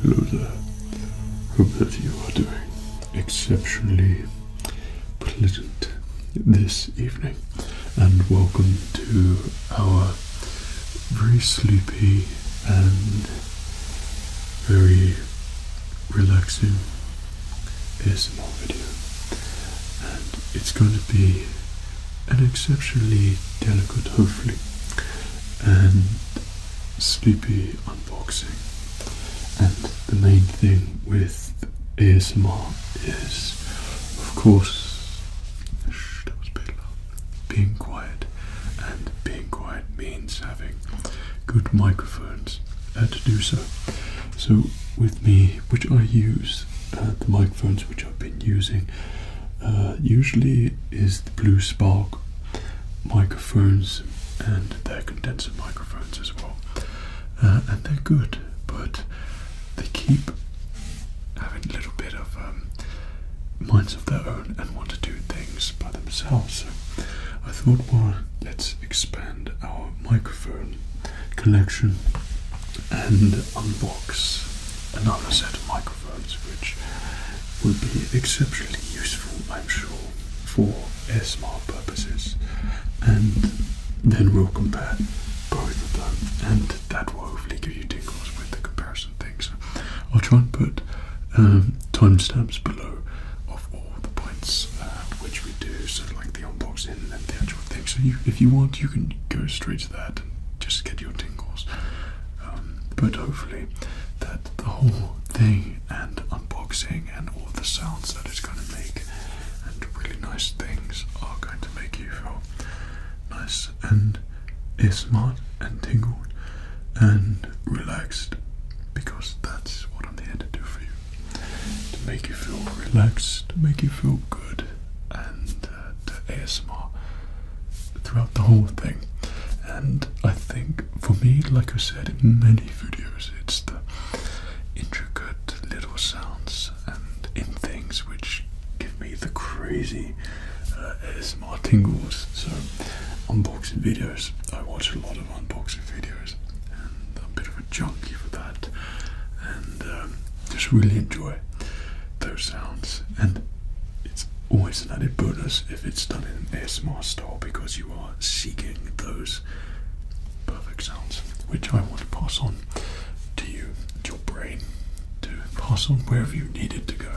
Hello there. Hope that you are doing exceptionally pleasant this evening and welcome to our very sleepy and very relaxing ASMR video. And it's going to be an exceptionally delicate, hopefully, and sleepy unboxing. And the main thing with ASMR is, of course, that was a Being quiet, and being quiet means having good microphones uh, to do so. So, with me, which I use, uh, the microphones which I've been using uh, usually is the Blue Spark microphones and their condenser microphones as well. and they're good, but they keep having a little bit of um, minds of their own and want to do things by themselves. So I thought, well, let's expand our microphone collection and unbox another set of microphones, which will be exceptionally useful, I'm sure, for ASMR purposes. And then we'll compare both of them that will hopefully give you tingles with the comparison thing. So I'll try and put um, timestamps below of all the points um, which we do, so like the unboxing and the actual thing. So if you want, you can go straight to that and just get your tingles. Um, but hopefully, that the whole thing and unboxing and all the sounds that it's going to make and really nice things are going to make you feel nice and is and tingled and relaxed because that's what I'm here to do for you to make you feel relaxed, to make you feel good, and uh, to ASMR throughout the whole thing. And I think for me, like I said in many videos, it's the intricate little sounds and in things which give me the crazy uh, ASMR tingles. So, unboxing videos. I watch a lot of unboxing videos and I'm a bit of a junkie for that. And um, just really enjoy those sounds. And it's always an added bonus if it's done in an ASMR style because you are seeking those perfect sounds which I want to pass on to you, to your brain, to Possum, wherever you need it to go.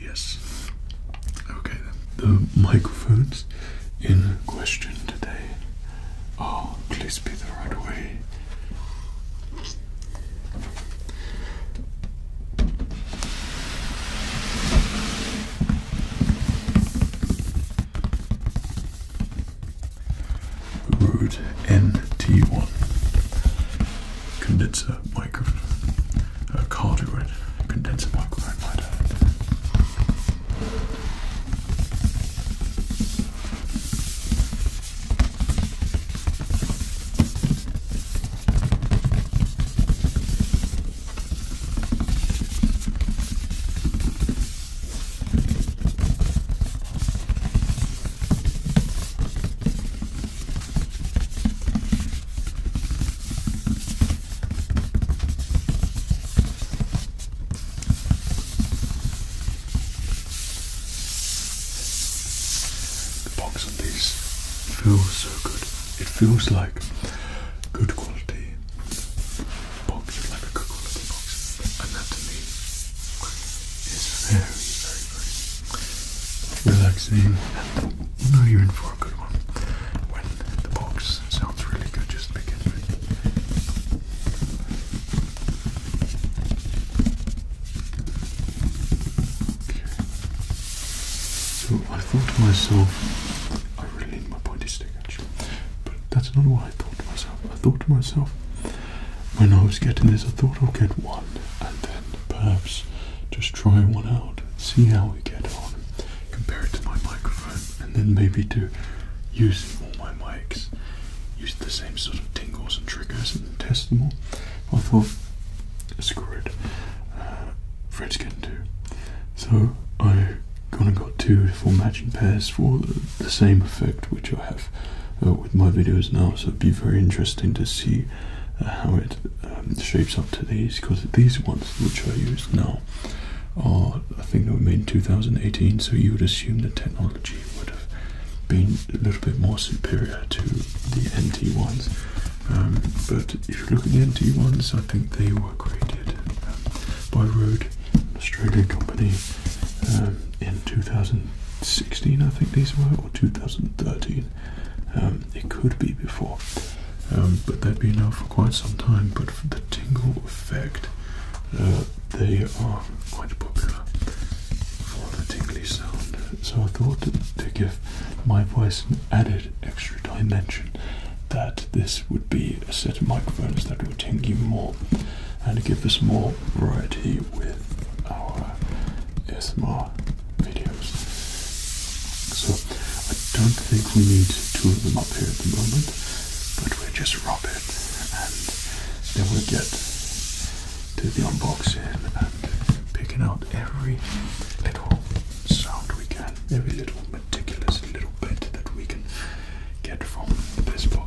Yes. Okay, The microphones in question today are, please be the right way. Rode NT1 condenser microphone, uh, cardioid condenser microphone, the box of these feels so good. It feels like good quality box, like a good quality box, and it's very, very, relaxing. And you are in for a good one when the box sounds really good. Just pick So I thought to myself, I really need my pointy stick actually, but that's not what I thought to myself. I thought to myself when I was getting this, I thought I'll get one and then perhaps just try one out, see how we get on, compare it to my microphone, and then maybe to use all my mics, use the same sort of tingles and triggers and test them all. I thought, screw it, uh, Fred's can do. So I gone and got two or four matching pairs for the same effect which I have uh, with my videos now, so it'd be very interesting to see uh, how it um, shapes up to these because these ones which I use now are, I think, they were made in 2018, so you would assume the technology would have been a little bit more superior to the NT ones. Um, but if you look at the NT ones, I think they were created um, by Rode, an Australian company. Um, in 2016, I think these were, or 2013. Um, it could be before, um, but they've been out for quite some time. But for the tingle effect, uh, they are quite popular for the tingly sound. So I thought to, to give my voice an added extra dimension that this would be a set of microphones that would tingle more and give us more variety with our ASMR videos. So I don't think we need two of them up here at the moment, but we'll just rub it and then we'll get to the unboxing and picking out every little sound we can, every little meticulous little bit that we can get from this box.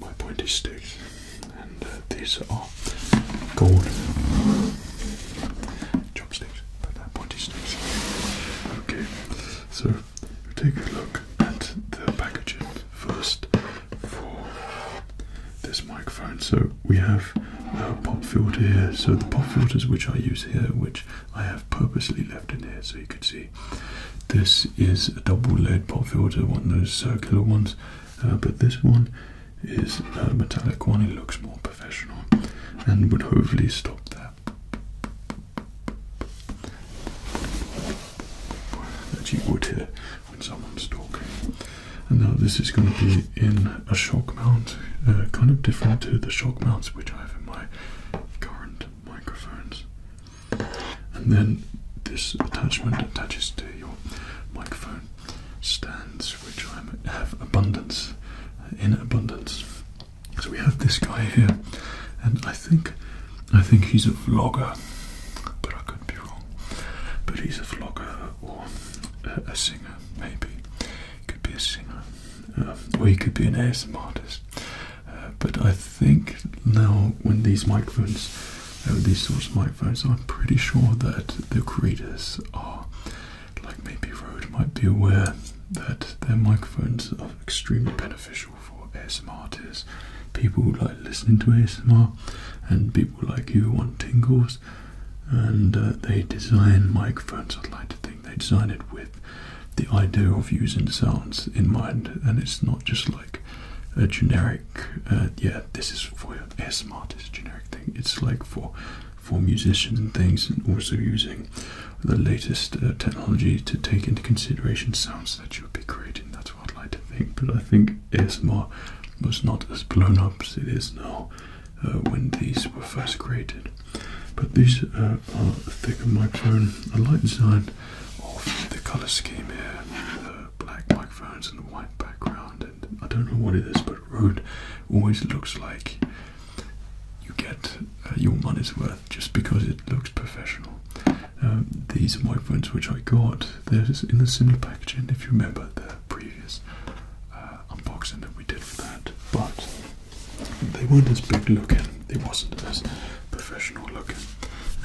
my pointy stick, and uh, these are gold chopsticks, but they pointy sticks. Okay, so we take a look at the packaging first for this microphone. So we have a pop filter here. So the pop filters which I use here, which I have purposely left in here, so you can see. This is a double lead pop filter, one of those circular ones. Uh, but this one is a uh, metallic one. It looks more professional and would hopefully stop that. That you would hear when someone's talking. And now this is going to be in a shock mount, uh, kind of different to the shock mounts which I have in my current microphones. And then this attachment attaches to your microphone stands, which I have abundance uh, in abundance. So we have this guy here, and I think I think he's a vlogger, but I could be wrong. But he's a vlogger or a, singer, maybe. Could be a singer, um, or he could be an ASM artist. Uh, but I think now when these microphones these sorts of microphones. I'm pretty sure that the creators are, like maybe Road might be aware that their microphones are extremely beneficial for ASMR artists, people like listening to ASMR, and people like you want tingles. And uh, they design microphones. I'd like to think they design it with the idea of using sounds in mind, and it's not just like a generic. Uh, uh, yeah, this is for ASMR. This generic thing. It's like for for musicians and things, and also using the latest uh, technology to take into consideration sounds that you would be creating. That's what I would like to think. But I think ASMR was not as blown up as it is now when these were first created. But these are a thicker microphone. I like the design of the color scheme here black microphones and a white background, and I don't know what it is, but Rode always looks like you get uh, your money's worth just because it looks professional. Um, these microphones which I got, they're in a similar packaging if you remember the previous uh, unboxing that we did for that, but they weren't as big looking, they wasn't as professional looking.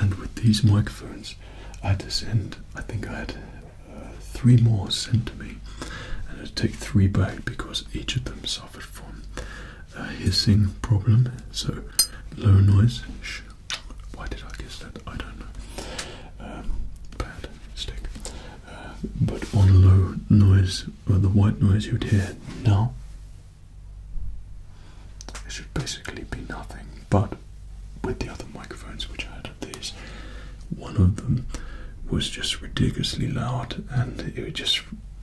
And with these microphones, I had to send, I think I had uh, three more sent to me, and I'd take three back because each of them suffered from a uh, hissing problem. So low noise. Shh. Why did I guess that? I don't know. Um, bad mistake. Uh, but on low noise, or the white noise you'd hear now, it should basically be nothing. But with the other microphones which I had of these, one of them was just ridiculously loud, and it was just.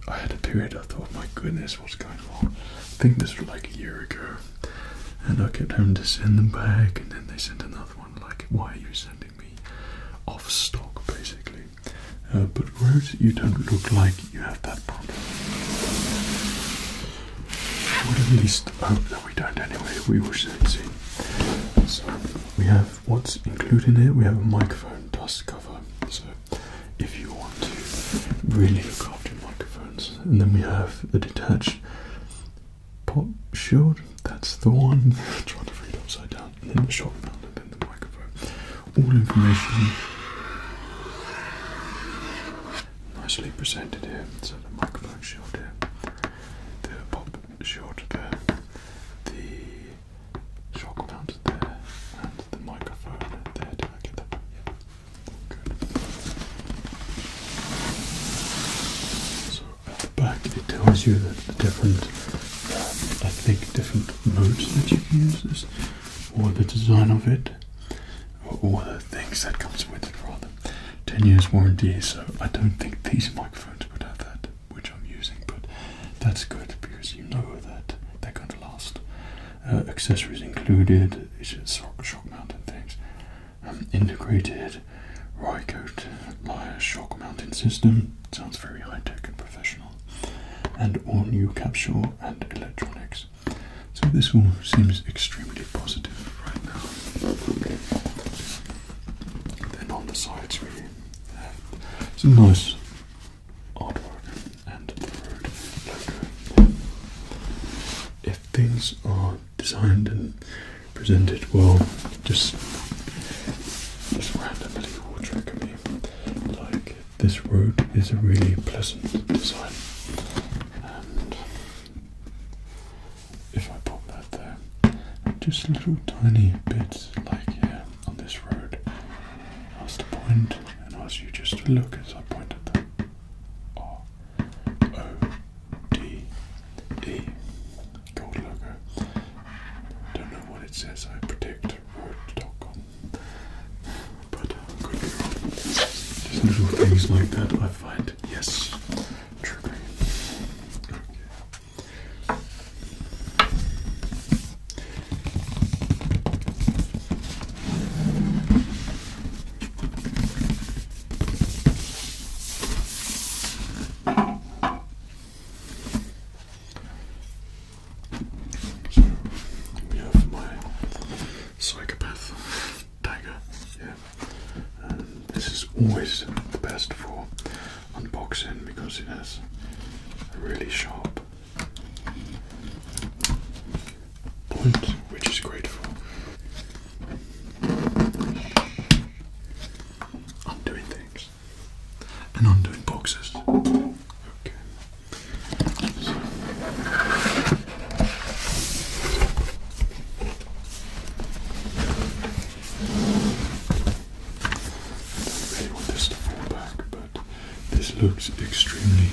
I had a period I thought, my goodness, what's going on? I think this was like a year ago, and I kept having to send them back, and then they sent another one, like, why are you sending me off stock, basically? Uh, but Rose, you don't look like you have that problem. I would at least hope that we don't anyway. We will soon see. So we have what's included in here. We have a microphone dust cover. So if you want to really look after microphones, and then we have the detached pop shield. That's the one. trying to read upside down. then the shock mount, then the microphone. All information nicely presented here. So the microphone shield here, the pop shield there, the shock mount there, and the microphone there. Did I get that right? Yeah. Good. So at the back it tells you that the different, I uh, think, different modes that you can use this, or the design of it all the things that comes with it rather. 10 years warranty, so I don't think these microphones would have that, which I'm using, but that's good because you know that they're going to last. Uh, accessories included, it's just shock, mounting things. Um, integrated Rycote Lyre shock mounting system, sounds very high tech and professional. And all new capsule and electronics. So this one seems extremely positive right now. Then on the sides we have some nice artwork and If things are designed and presented well, just just randomly will trigger me. Like this road is a really pleasant design if I put that there, just little tiny bits like here on this road. I was and ask you just to look as I point at them. R O D E gold logo. Don't know what it says. I predict road.com, but could be wrong. Just little things like that. Yes. Trigger. we have my psychopath Tiger. Yeah, this is always the best for unboxing because it has a really sharp point, which is great for undoing things and undoing boxes. Okay. So. I want this to fall back, but this looks extremely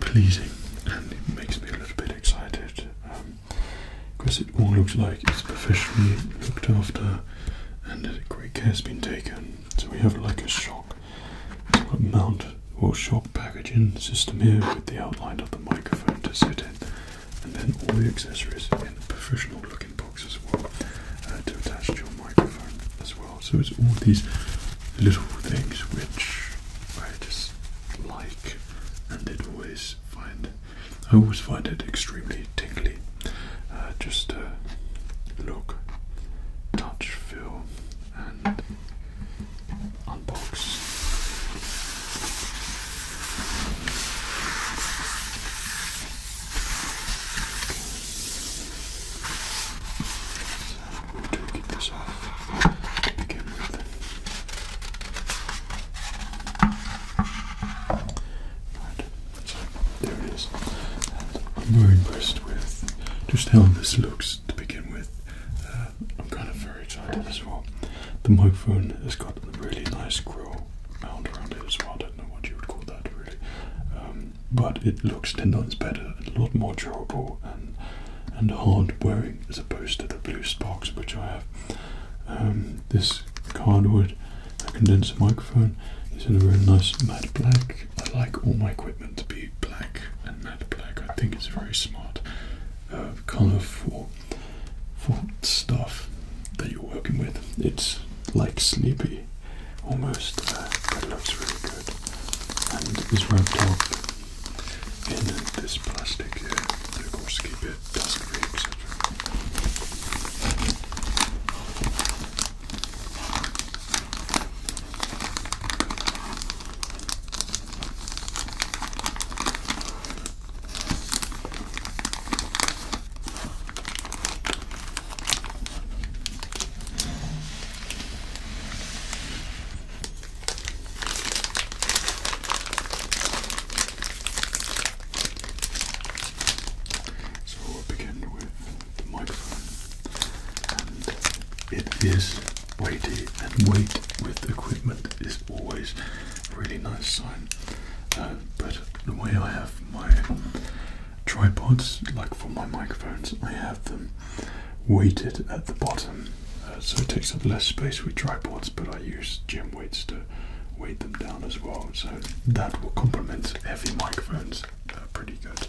pleasing and it makes me a little bit excited because um, it all looks like it's professionally looked after and great care's been taken. So we have like a shock sort mount or shock packaging system here with the outline of the microphone to sit in, and then all the accessories in the professional looking box as well uh, to attach to your microphone as well. So it's all these little things which I just like and it always find I always find it extremely tickly. Uh, just uh, look, touch, feel, and unbox. So this off begin with. Right, there it is. I'm very impressed with just how this looks to begin with. Uh, I'm kind of uh, very excited as well. The microphone has got a really nice grill around it as well. I don't know what you would call that really, um, but it looks ten times better, a lot more durable, and and hard wearing as opposed to the blue sparks which I have. Um, this cardwood condenser microphone is in a very nice matte black. I like all my equipment to be black and matte black. I think it's very smart of uh, for stuff that you're working with. It's like sleepy almost, uh, but it looks really good and is wrapped up in this plastic here to of course keep it dust free etc. So we'll begin with the microphone, and it is weighty and weight with equipment is always a really nice sign. Uh, but the way I have my tripods, like for my microphones, I have them weighted at the bottom. Uh, so it takes up less space with tripods, but I use gym weights to weight them down as well. So that will complement heavy microphones uh, pretty good.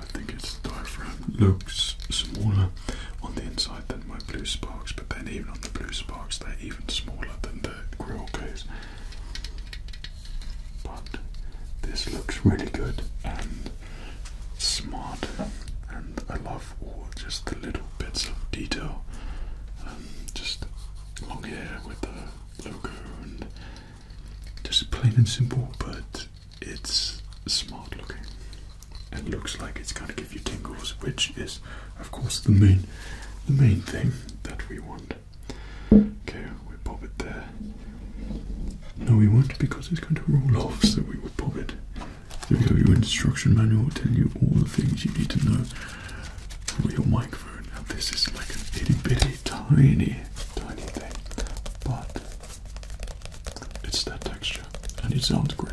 I think it's the diaphragm looks smaller on the inside than my blue sparks, but then even on the blue sparks, they're even smaller than the grill case. But this looks really good and smart, and I love all just the little bits of detail. Um, just long hair with the logo and just plain and simple, but it's smart looking It looks like it's going to give you tingles, which is, of course, the main, the main thing that we want. Okay, we pop it there. No, we won't because it's going to roll off, so we will pop it. There you go, your instruction manual will tell you all the things you need to know for your microphone. Now, this is like an itty bitty tiny, tiny thing, but it's that texture and it sounds great.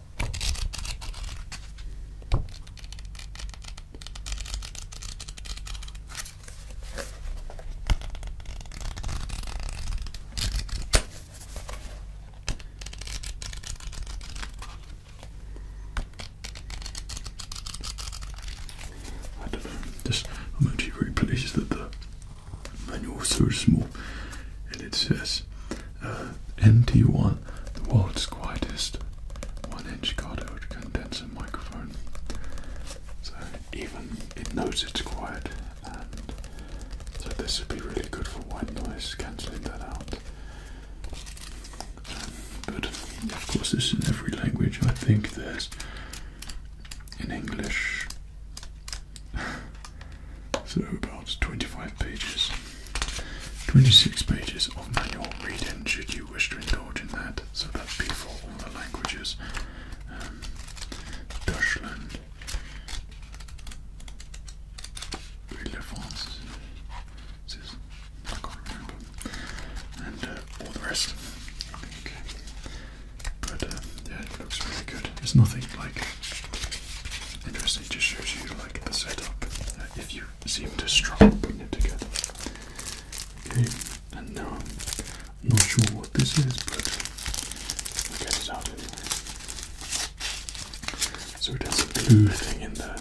I don't know. Just, I'm actually very pleased that the manual is so small, and it says NT1, the world's quietest one-inch cardioid condenser microphone. So even it knows it's quiet, and so this would be really good for white noise, cancelling that out. but of course, this is in every language. I think there's in English, so about 25 pages, 26 pages of manual reading should you wish to indulge in that. So that'd be for all the languages. Um, Deutschland, I can't remember, and uh, all the rest. Okay. But uh, yeah, it looks really good. It's nothing like Interesting, just shows you like the setup. if you seem to struggle putting it together. Okay, and now I'm not sure what this is, but okay. So it has a blue thing in there.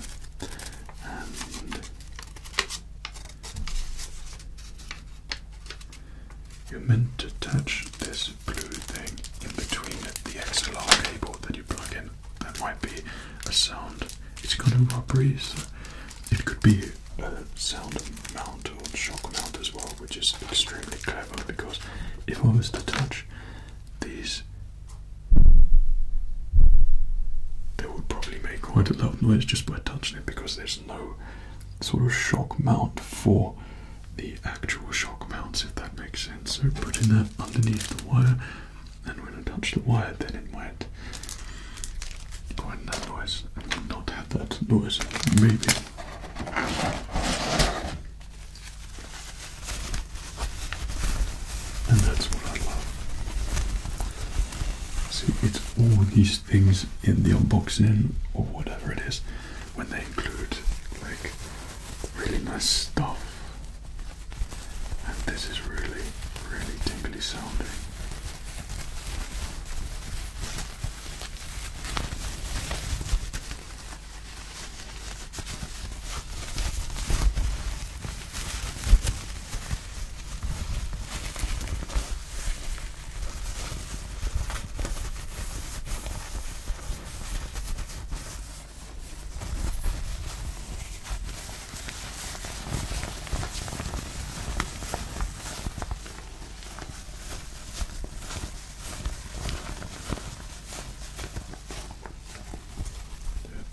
And you're meant to attach this blue thing in between the XLR cable that you plug in. That might be a sound. It's got a rubbery, it could be a sound mount or shock mount as well, which is extremely clever because if I was to touch these, they would probably make quite a loud noise just by touching it because there's no sort of shock mount for the actual shock mounts, if that makes sense. So putting that underneath the wire, and when I touch the wire, then it might go in not have that noise, maybe. And that's what I love. See, it's all these things in the unboxing or whatever it is when they include like Really nice stuff. And this is really, really tingly sounding. Yeah,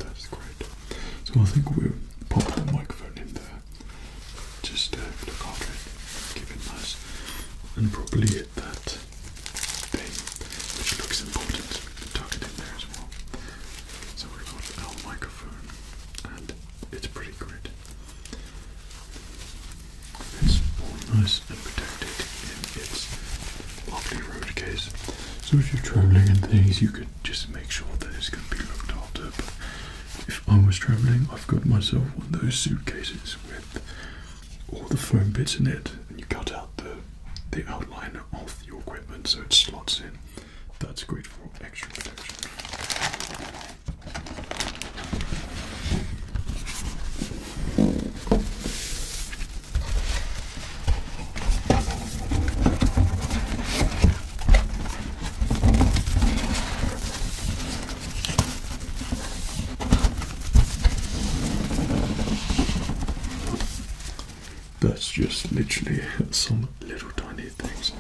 that's great. So I think we'll pop the microphone in there. Just to uh, look after it, keep it nice and probably hit that which looks important. Tuck it in there as well. So we've got our microphone, and it's pretty great. It's all nice and protected in its lovely road case. So if you're travelling and things, you could just make sure that it's going to be looked after. But if I was travelling, I've got myself one of those suitcases with all the foam bits in it, and you cut out the the outline of your equipment so it slots in. That's great for extra protection. That's just literally some little tiny things.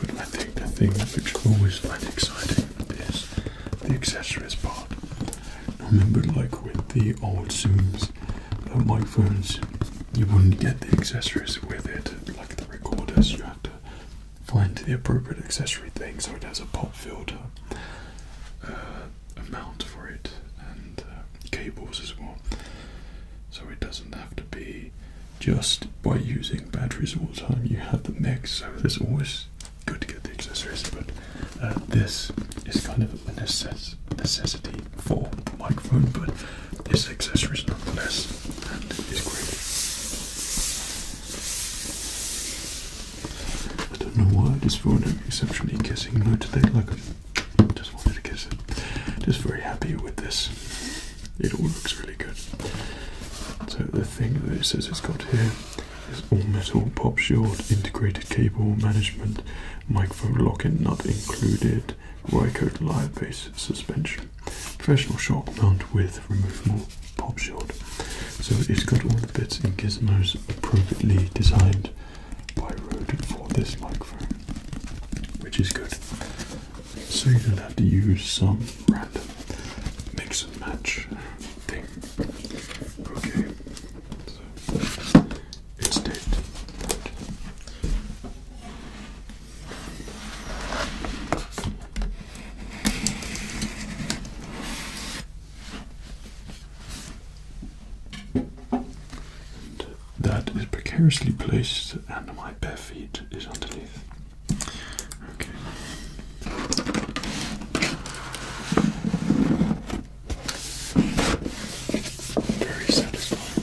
But I think the thing which I always find exciting is the accessories part. remember like with the old Zooms the uh, microphones, you wouldn't get the accessories with it, like the recorders, you had to find the appropriate accessory thing so it has a pop filter. Uh, uh, for it and uh, cables as well. So it doesn't have to be just by using batteries all the time. You have the mix, so it's always good to get the accessories. But uh, this is kind of a necessity for the microphone, but this accessory is nonetheless, and it's great. I don't know why this phone I'm exceptionally kissing no today. Like I just wanted to kiss it. Just very happy with this. It all looks really good. So the thing that it says it's got here is all metal pop shield, integrated cable management, microphone lock and nut included, Rycoat live base suspension, professional shock mount with removable pop shield. So it's got all the bits and gizmos appropriately designed by Rode for this microphone, which is good. So you don't have to use some random mix and match thing. Okay, it's dead. And that is precariously placed, and my bare feet is underneath. Okay. Very satisfying.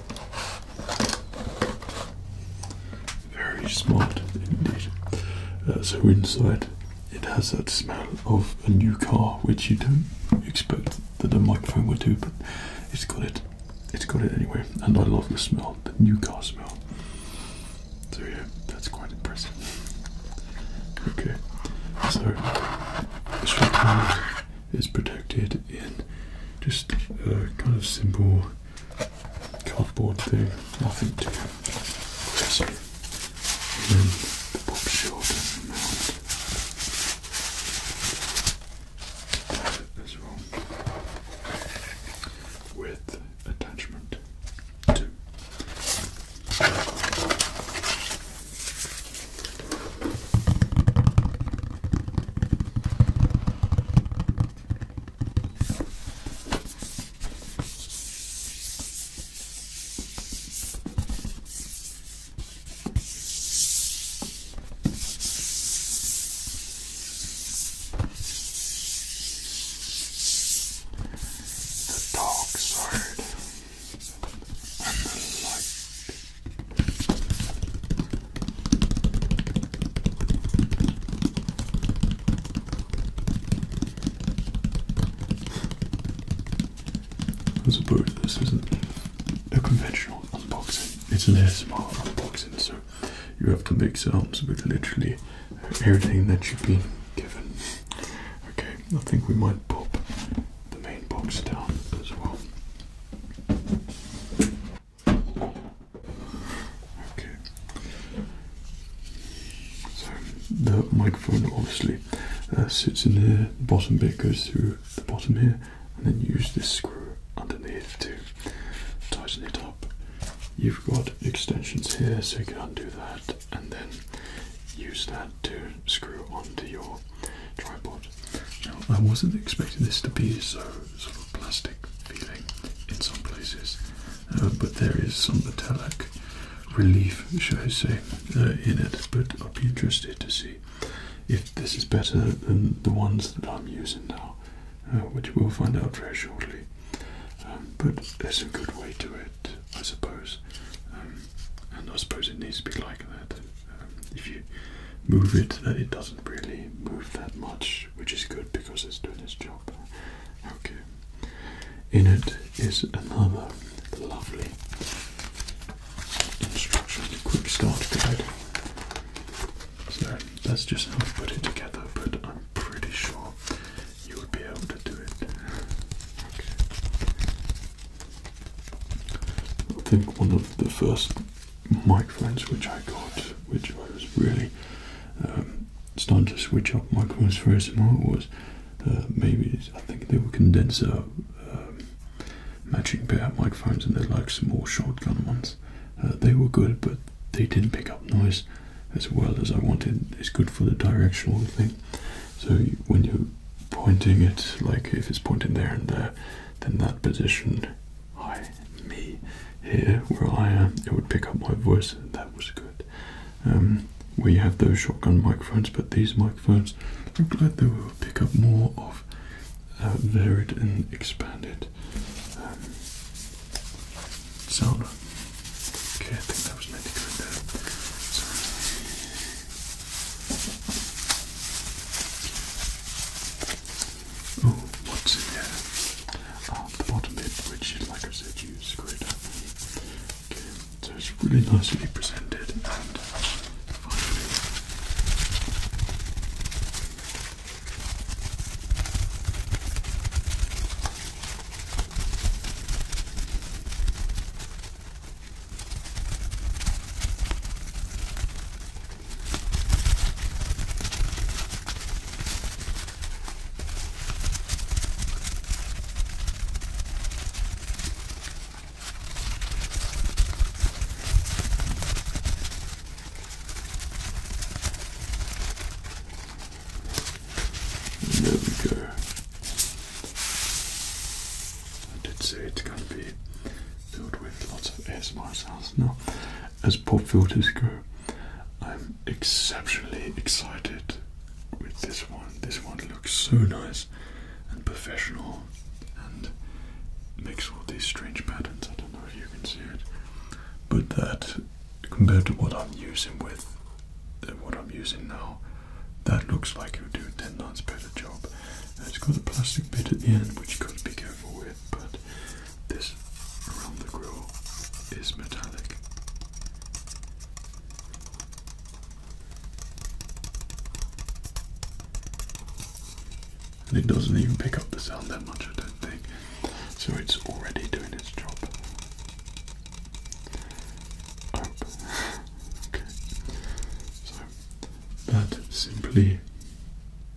Very smart indeed. Uh, so inside it has that smell of a new car, which you don't expect that a microphone would do, but it's got it. It's got it anyway, and I love the smell, the new car smell. So yeah, that's quite impressive. Okay, so is protected in just a kind of simple cardboard thing, nothing too crazy. then the pop shield as well with attachment two. The dark side and the light. I suppose this isn't a conventional unboxing, it's an ASMR unboxing, so you have to make sounds with literally everything that you've been given. Okay, I think we might pop the main box down as well. Okay. So the microphone obviously uh, sits in here. The bottom bit goes through the bottom here, and then you use this screw underneath to tighten it up. You've got extensions here, so you can undo that, and then use that to screw onto your tripod. I wasn't expecting this to be so sort of plastic feeling in some places, uh, but there is some metallic relief, shall I say, uh, in it. But I'll be interested to see if this is better than the ones that I'm using now, uh, which we'll find out very shortly. Um, but there's a good way to it, I suppose, um, and I suppose it needs to be like that. Um, if you move it, it doesn't really move that much, which is good because it's doing its job. Okay. In it is another lovely instruction quick start guide. So that's just how I put it together, but I'm pretty sure you would be able to do it. I think one of the first microphones which I got, which I was really um, starting to switch up microphones for as ASMR was uh, maybe I think they were condenser um, matching pair microphones and they're like small shotgun ones. Uh, they were good, but they didn't pick up noise as well as I wanted. It's good for the directional thing. So when you're pointing it, like if it's pointing there and there, then that position I, me, here where I am, it would pick up my voice, that was good. Um, we have those shotgun microphones, but these microphones, I'm glad they will pick up more of uh, varied and expanded um, sound. Okay, I think that was meant to go in there. Oh, what's in there? Uh, ah, the bottom bit, which, like I said, you screwed up. Okay, so it's really nicely presented and finally. There we go. I did say it's going to be filled with lots of ASMR sounds. Now, as pop filters go, I'm exceptionally excited with this one. This one looks so nice and professional and makes all these strange patterns. I don't know if you can see it, but that compared to what I'm using with uh, what I'm using now, that looks like it would do 10 times better the job. it's got a plastic bit at the end which you've got to be careful with, but this around the grill is metallic. And it doesn't even pick up the sound that much, I don't think. So it's already doing its job. okay. That simply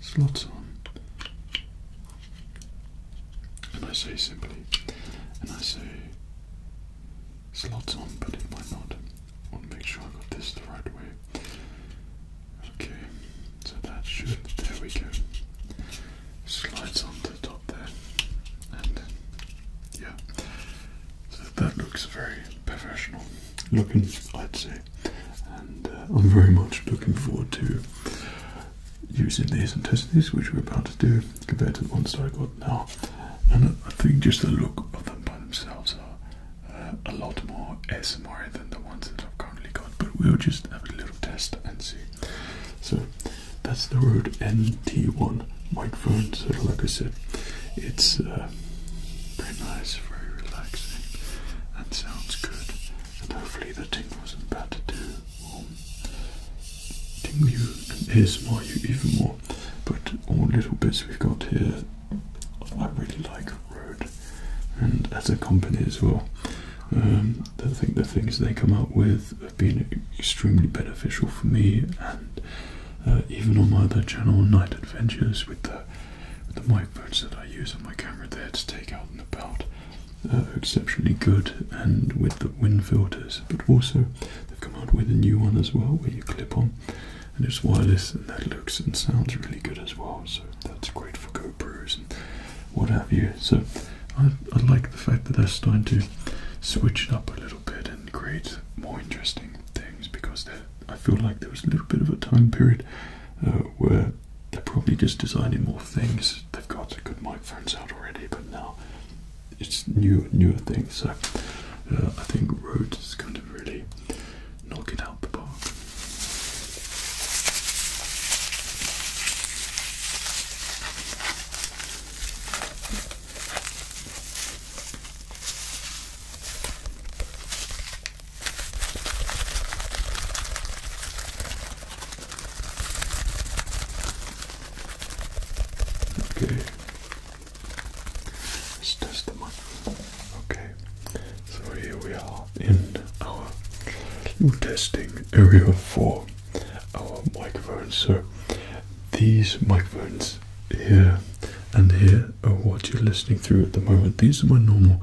slots on. And I say simply, and I say slots on, but it might not. I want to make sure I got this the right way. Okay, so that should, there we go. Slides on the top there, and yeah. So that looks very professional looking, Let's see and uh, I'm very much looking forward to using these and testing these, which we're about to do, compared to the ones that I got now. And I think just the look of them by themselves are uh, a lot more ASMR than the ones that I've currently got, but we'll just have a little test and see. So that's the Rode NT1 microphone. So, like I said, it's. Uh, very nice, very relaxing, and sounds good. And hopefully the tingles not bad to do will um, you and is ASMR you even more. But all little bits we've got here, I really like Road, and as a company as well. Um, I think the things they come up with have been extremely beneficial for me, and uh, even on my other channel, Night Adventures, with the the microphones that I use on my camera there to take out and about are uh, exceptionally good and with the wind filters but also they've come out with a new one as well where you clip on and it's wireless and that looks and sounds really good as well so that's great for GoPros and what have you so I, I like the fact that they're starting to switch it up a little bit and create more interesting things because they're I feel like there was a little bit of a time period uh, where they're probably just designing more things. They've got good microphones out already, but now it's new, newer things. So uh, I think Rode is going to really knock it out the park. Okay. Let's test them Okay. So here we are in our testing area for our microphones. So these microphones here and here are what you're listening through at the moment. These are my normal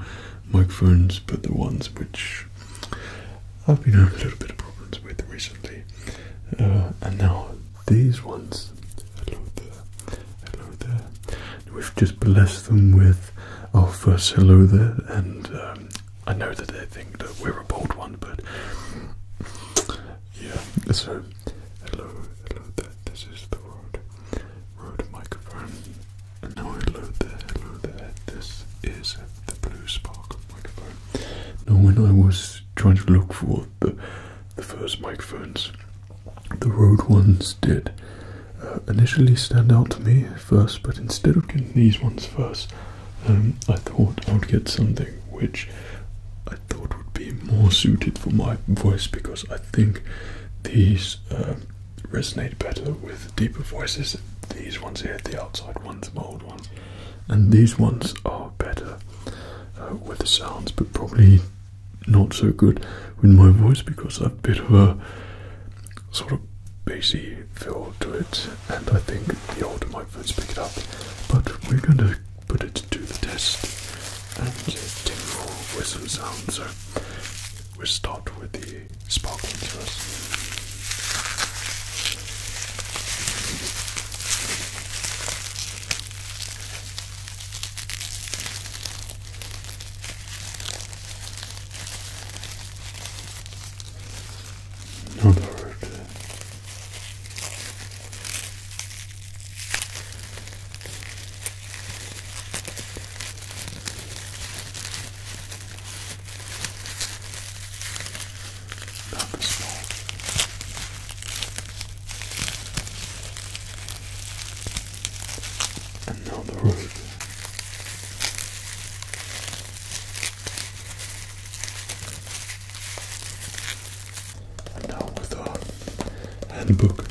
microphones, but the ones which I've been having a little bit of problems with recently. Uh, and now these ones. Hello there. Hello there. We've just blessed them with our first hello there, and um, I know that they think that we're a bold one, but yeah. So hello, hello there. This is the road. Rode microphone. And now hello there, hello there. This is the Blue Sparkle microphone. Now, when I was trying to look for the the first microphones, the Rode ones did uh, initially stand out to me first, but instead of getting these ones first, um, I thought I would get something which I thought would be more suited for my voice because I think these um, resonate better with deeper voices. These ones here, the outside ones, the old ones, and these ones are better uh, with the sounds, but probably not so good with my voice because I've a bit of a sort of bassy feel to it, and I think the older microphones pick it up. But we're going to put it to the test and do with sounds. So we'll start with the sparkling first. Another about this small. And now the road. And now with our handbook.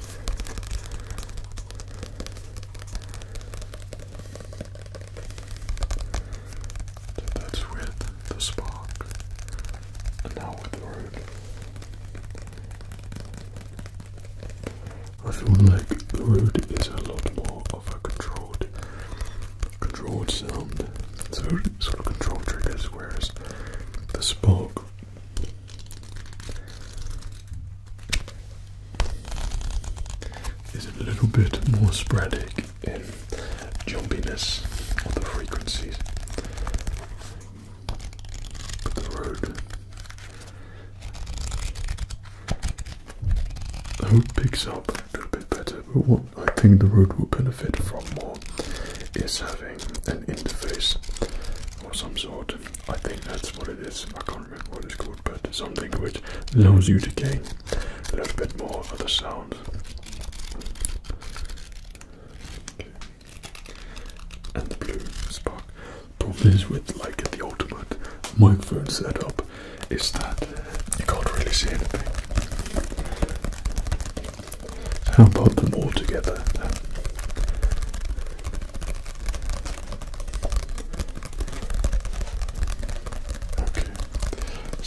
So that's with the spark, and now with the road. I feel like the road is a lot more of a controlled, controlled sound. So it's triggers, whereas the spark is a little bit more sporadic in jumpiness of the frequencies. But the road. I hope picks up a little bit better, but what I think the road will benefit from more is having an interface or some sort. I think that's what it is. I can't remember what it's called, but something which allows you to gain a little bit more of the sound. And the blue spark. Problem is with like the ultimate microphone setup is that you can't really see anything. How about them all together? Okay,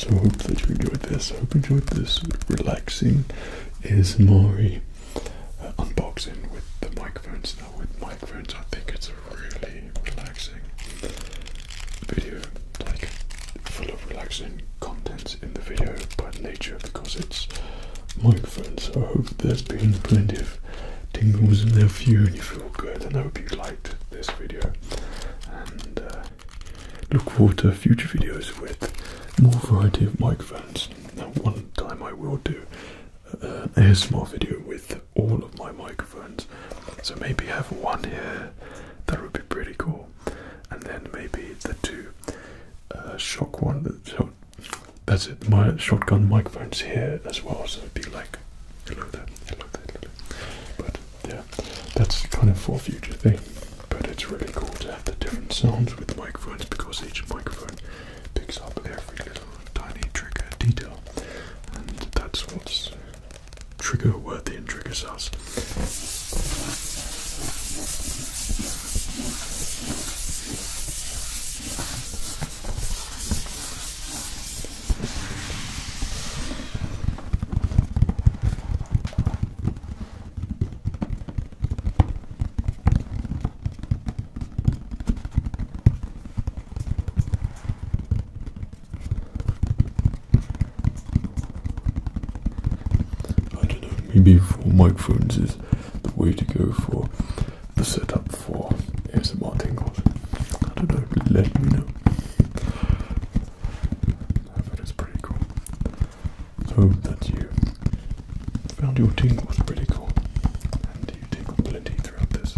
so I hope that you enjoyed this. I hope you enjoyed this relaxing Is uh, unboxing with the microphones. Now, with microphones, I think it's a really relaxing video, like full of relaxing contents in the video But nature of the because it's microphones. So I hope there's been plenty of tingles in there for you and you feel good. And I hope you liked this video. And uh, look forward to future videos with more variety of microphones. Now, one time I will do a small video with all of my microphones. So maybe have one here. That would be pretty cool. And then maybe the two uh, shock one, the that's it. My shotgun microphone's here as well, so it'd be like, hello there, hello there, hello there. But yeah, that's kind of for future thing. But it's really cool to have the different sounds with microphones because each microphone picks up every little tiny trigger detail, and that's what's trigger worthy and triggers us. I don't know, maybe for microphones is the way to go for the setup for ASMR tingles. I don't know, let me know. But it's pretty cool. hope that you found your tingles pretty cool. And you tingle plenty throughout this.